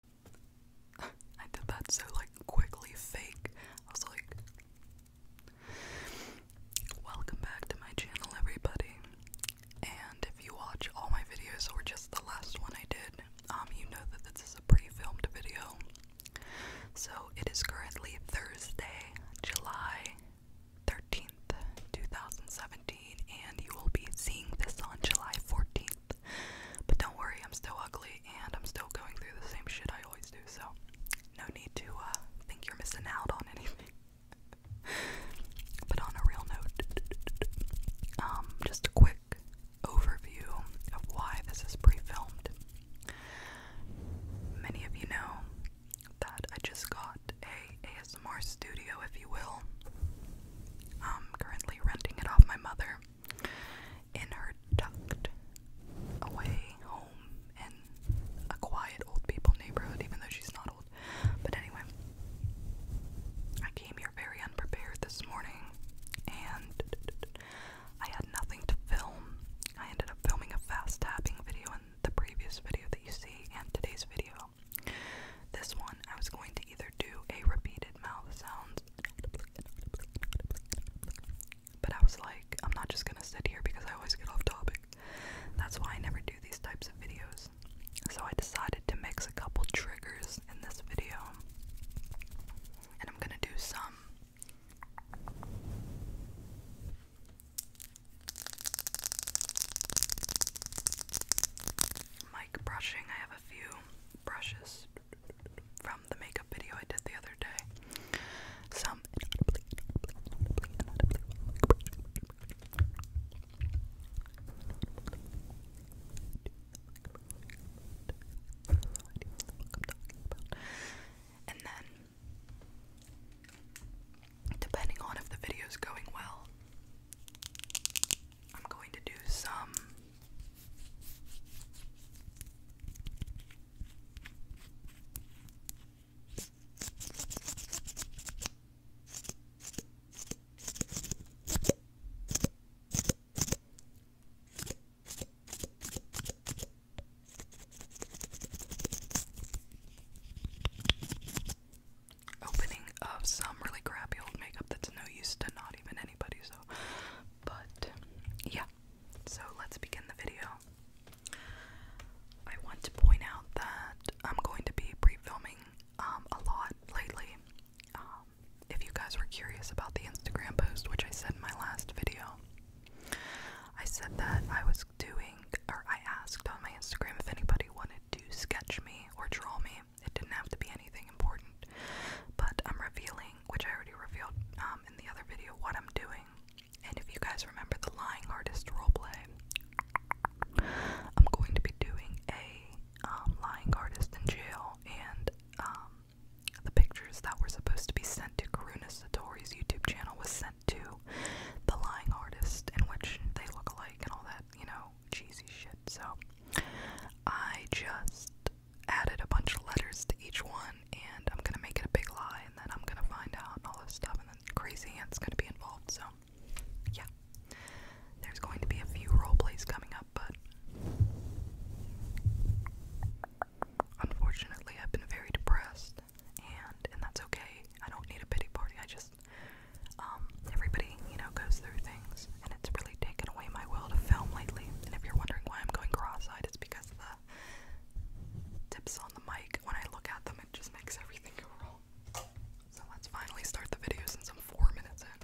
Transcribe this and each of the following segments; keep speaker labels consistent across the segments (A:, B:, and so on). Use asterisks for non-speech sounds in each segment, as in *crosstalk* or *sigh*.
A: *laughs* I did that so like quickly fake. I was like Welcome back to my channel everybody. And if you watch all my videos or just the last one I did, um you know that this is a pre-filmed video. So it is currently Thursday, July 13th, 2017, and you will be seeing this on July 14th. But don't worry, I'm still ugly and I'm still going through the same shit I always do, so no need to uh, think you're missing out on anything. *laughs* but on a real note, um, just a quick overview of why this is pre filmed. Many of you know that I just got a ASMR studio, if you will. I'm currently renting it off my mother in her tucked away home in a quiet old people neighborhood, even though she's not old. But anyway, I came here very unprepared this morning and I had nothing to film. I ended up filming a fast tapping video in the previous video that you see and today's video. This one I was going to either do a repeated mouth sounds. But I was like, I'm not just gonna sit here because I always get off topic. That's why I never do these types of videos. So I decided to mix a couple triggers in this video. And I'm gonna do some. Mic brushing, I have a few brushes from the makeup video I did the other day. Some and then, depending on if the video is going well, I'm going to do some opening of some really crappy old makeup that's no use to not even anybody, so. But, yeah. So let's begin the video. I want to point out that I'm going to be pre filming um, a lot lately. Um, if you guys were curious about the Instagram post, which I said in my last video, I said that I was doing, or I asked on my Instagram if anybody wanted to sketch me or draw me. It didn't have to be anything important. But I'm revealing, which I already revealed um, in the other video, what I'm doing. And if you guys remember the lying artist roleplay, I'm going to be doing a um, lying artist in jail and um, the pictures that were supposed to be sent to Karuna Satori's YouTube channel was sent to the lying artist in which they look alike and all that, you know, cheesy shit. So I just added a bunch of letters to each one, and I'm gonna make it a big lie, and then I'm gonna find out and all this stuff, and then crazy ants gonna be involved. So yeah, there's going to be a few role plays coming up, but. Unfortunately, I've been very depressed, and and that's okay. I don't need a pity party. I just because um, everybody, you know, goes through things, and it's really taken away my will to film lately. And if you're wondering why I'm going cross-eyed, it's because the tips on the mic, when I look at them, it just makes everything go wrong. So let's finally start the video since I'm four minutes in.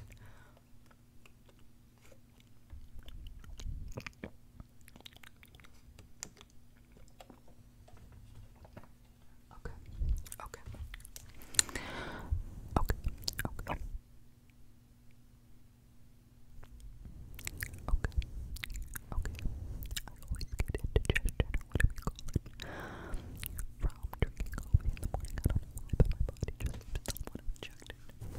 A: Okay, okay, Okay, okay. Okay, okay. I always get indigestion or whatever you call it from drinking coffee in the morning. I don't know but my body just somewhat rejected. Okay.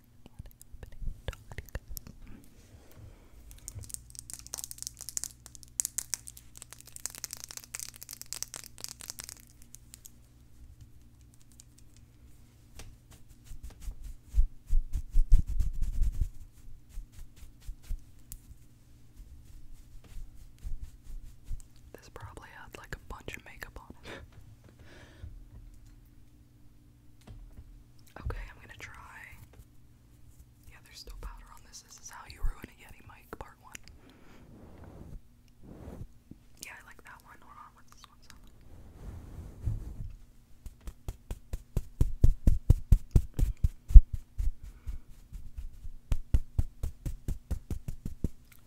A: happening, you This probably had like a bunch of makeup on it. *laughs* Okay, I'm gonna try. Yeah, there's still powder on this. This is how you ruin a Yeti mic, part one. Yeah, I like that one. Hold what's this one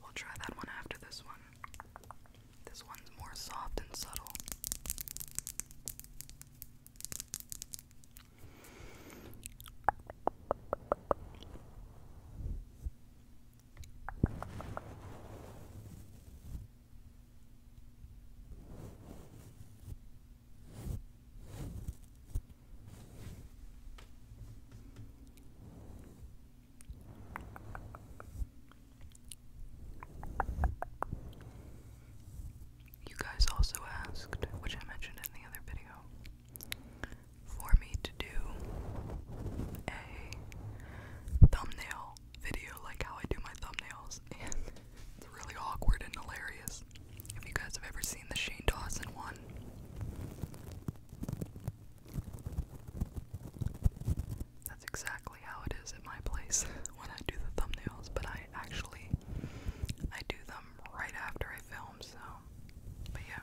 A: We'll try that one after this one. This one's more soft and subtle. You guys also asked, which I mentioned in the other video, for me to do a thumbnail video, like how I do my thumbnails, *laughs* it's really awkward and hilarious. If you guys ever seen the Shane Dawson one, that's exactly how it is at my place *laughs* when I do the thumbnails, but I actually I do them right after I film, so but yeah.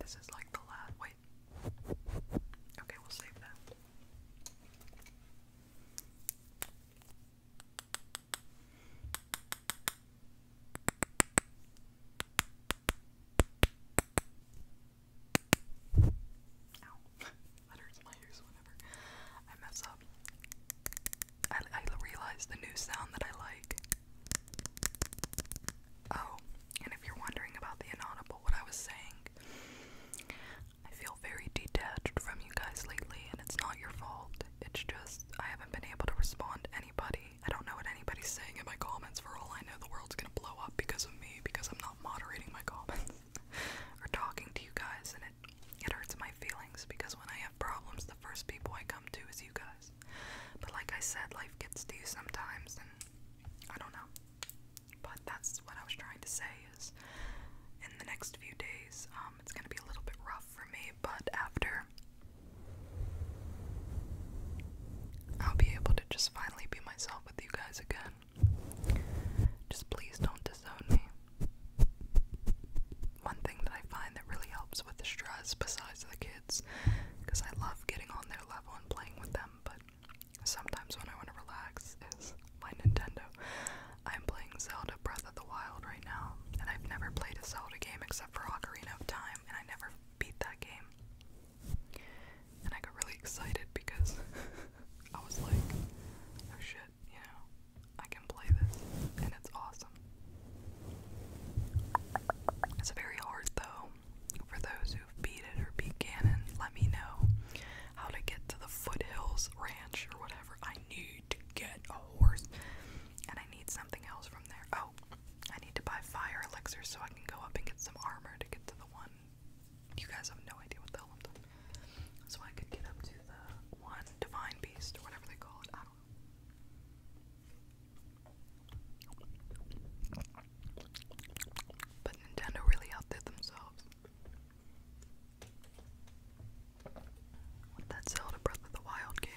A: This is like the last. Wait. Okay, we'll save that. Ow. that hurts my whenever I mess up. I, I realized the new sound that I like. Oh, and if you're wondering about the inaudible, what I was saying, I feel very detached from you guys lately, and it's not your fault. It's just I haven't been able to respond to anybody I don't know what anybody's saying in my comments. For all I know, the world's gonna blow up because of me because I'm not moderating my comments *laughs* or talking to you guys, and it it hurts my feelings because when I have problems, the first people I come to is you guys. But like I said, life gets to you sometimes, and I don't know. But that's what I was trying to say is in the next few days, um, it's gonna be a little bit rough for me, but after I'll be able to just finally be myself with you guys again. Just please don't disown me. One thing that I find that really helps with the stress, besides the kids, because I love getting on their level and playing with them, but sometimes when I want to relax, is my Nintendo. I'm playing Zelda Breath of the Wild right now, and I've never played a Zelda game except for Ocarina of Time, and I never beat that game. And I got really excited because *laughs* I was like, oh shit, you know, I can play this and it's awesome. It's very hard though. For those who've beat it or beat Ganon, let me know how to get to the Foothills Ranch or whatever. I need to get a horse and I need something else from there. Oh. I need to buy fire elixir so I can go up and get some armor to get to the one. You guys have no idea what the hell I'm doing. So I could get up to the one divine beast or whatever they call it. I don't know. But Nintendo really outdid themselves. With that Zelda Breath of the Wild game.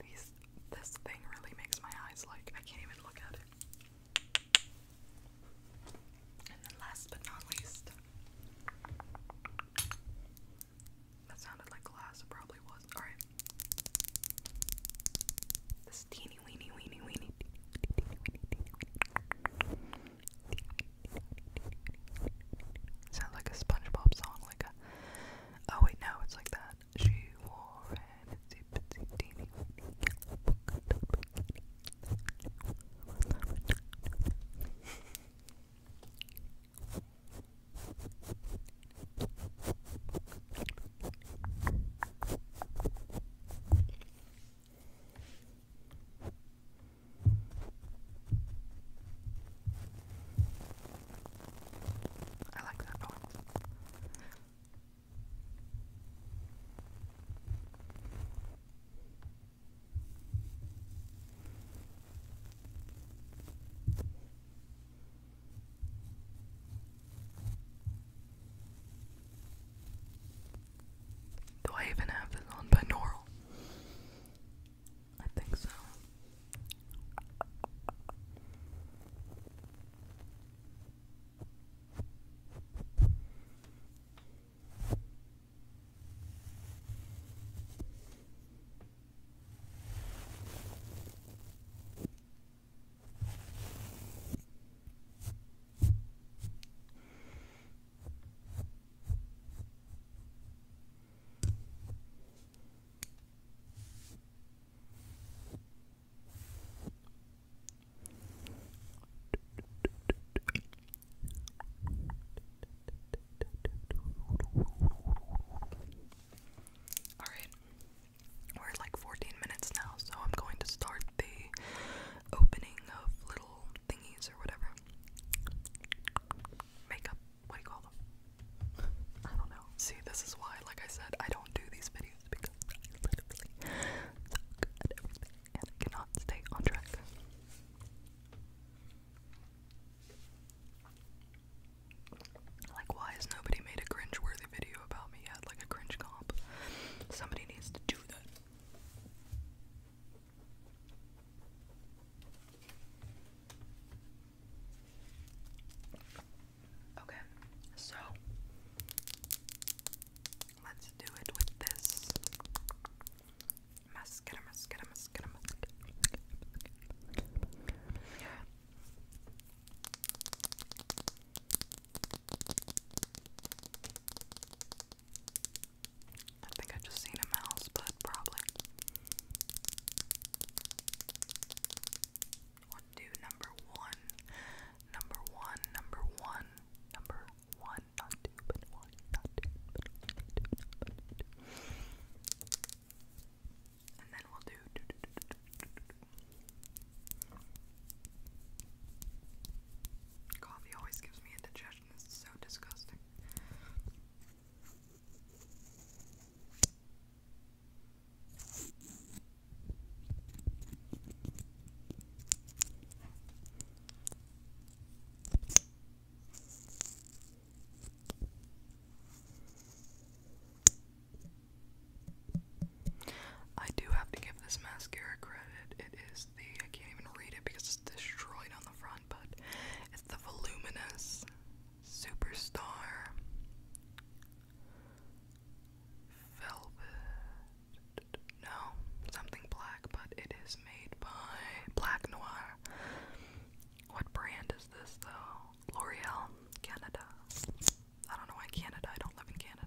A: These, this thing really makes my eyes like I can't even look at it. And then last but not least, that sounded like glass, it probably was. Alright. This teeny weeny weeny weeny. Sounds like a SpongeBob song, like a Oh wait, no, it's like that. She wore an itsy bitsy teeny weeny yellow I like that balance. Do I even have this on binaural? I think so. All right. We're like 14 minutes now, so I'm going to start the opening of little thingies or whatever. Makeup what do you call them? I don't know. See, this is why, like I said, I don't do these videos because I literally suck at everything and I cannot stay on track. Like, why has nobody made a cringe-worthy video about me yet? Like a cringe comp. Somebody needs to do that. Okay, so let's do it with this mascara, mascara, mascara, mascara. Yeah. I think I just seen a mouse, but probably do number one. Number one, number one, number one, not two, but one, not two, but one, not two, not two, And then we'll do. Coffee always gives me indigestion. It's so disgusting. I do have to give this mascara credit. It is the I can't even read it because it's destroyed on the front, but it's the voluminous Superstar Velvet. No, something black, but it is made by Black Noir. What brand is this though? L'Oreal, Canada. I don't know why Canada, I don't live in Canada.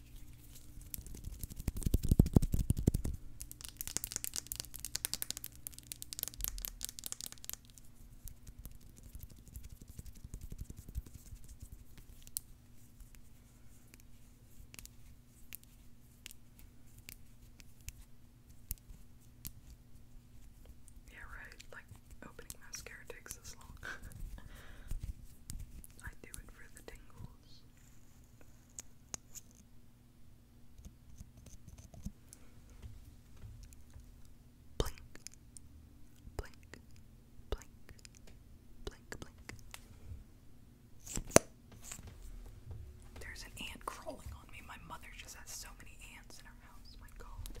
A: Yeah, right, like opening mascara takes this long. *laughs* I do it for the tingles. Blink, blink, blink, blink, blink. There's an ant crawling on me. My mother just has so many ants in her house. My God.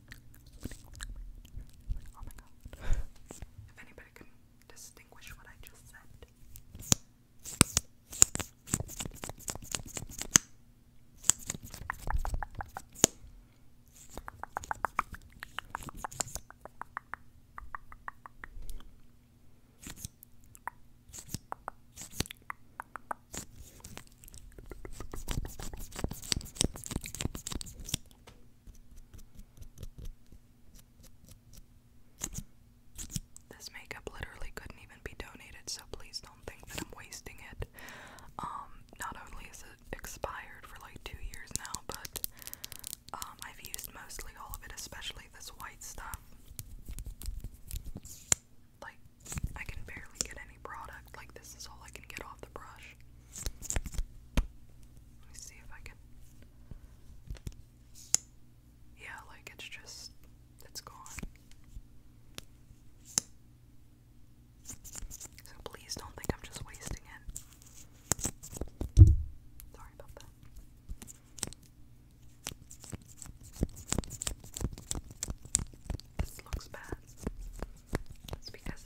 A: Oh my god. if anybody can distinguish what I just said. This makeup literally couldn't even be donated, so please don't think that I'm wasting it. Um, not only is it expired for like two years now, but um, I've used mostly all of it, especially this white stuff. Like, I can barely get any product. Like, this is all I can get off the brush. Let me see if I can. Yeah, like it's just, it's gone. So please don't think I'm just wasting it. Sorry about that. This looks bad. It's because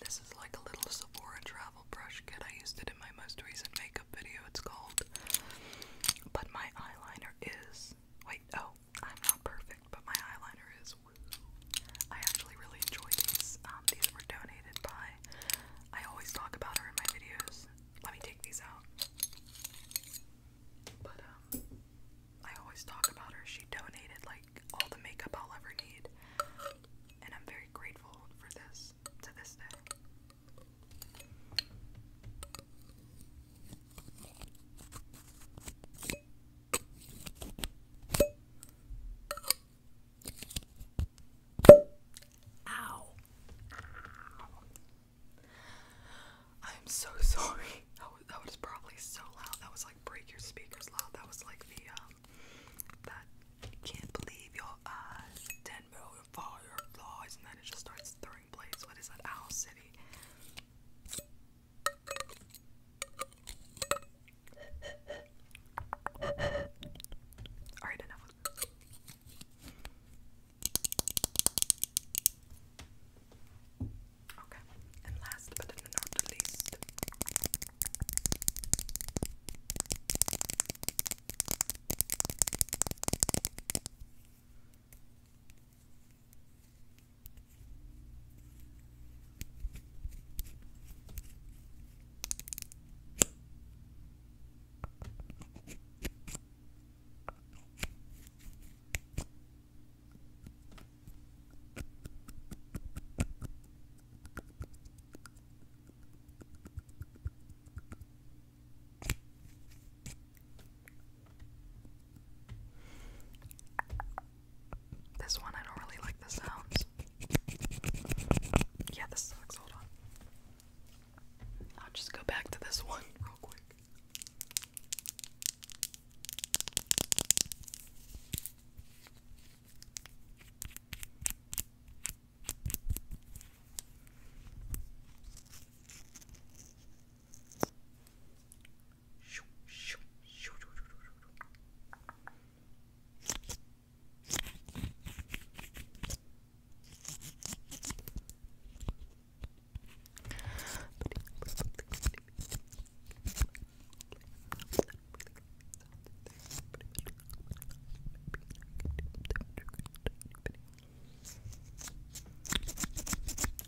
A: This is like a little Sephora travel brush kit. I used it in my most recent makeup video, it's called. But my eyeliner is. Wait, oh, I'm not perfect, but my eyeliner is. Woo. I actually really enjoy these. Um, these were donated I always talk about her in my videos. Let me take these out. But um I always talk about her. She donated like all the makeup I'll ever need. And I'm very grateful for this to this day. Ow. I'm so *laughs* sorry. That was, probably so loud. That was like break your speakers loud. That was like the um, that can't believe your eyes. Ten million fireflies, and then it just starts throwing blades. What is that? Owl City. *laughs* Alright, enough. Okay, and last but not least. This one, I don't really like the sounds. Yeah, this sucks. Hold on. I'll just go back to this one real quick.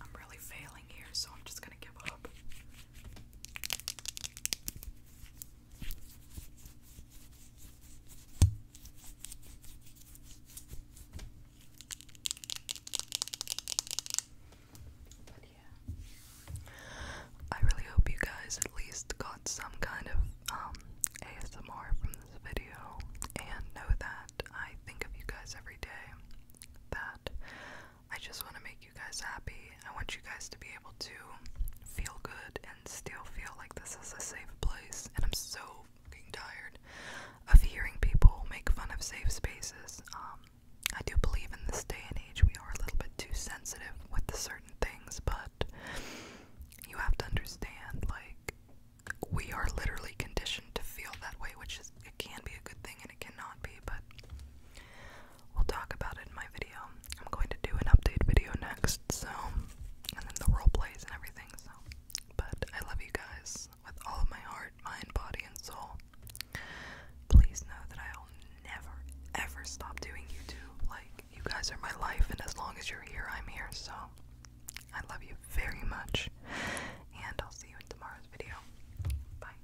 A: I'm really failing here, so I'm just going to give up. I really hope you guys at least got some kind of um from this video and know that I think of you guys every day. That I just want to make you guys happy. I want you guys to be able to feel good and still feel like this is a safe place. And I'm so fucking tired of hearing people make fun of safe spaces. Um, I do believe in this day and age we are a little bit too sensitive with certain things, but you have to understand, like, we are literally conditioned to feel that way, which is, it can be a good thing and it cannot be, but we'll talk about it in my video. I'm going to do an update video next so and then the role plays and everything, so but I love you guys with all of my heart, mind, body, and soul. Please know that I'll never ever stop doing YouTube. Like you guys are my life and as long as you're here I'm here, so I love you very much. And I'll see you in tomorrow's video. Bye.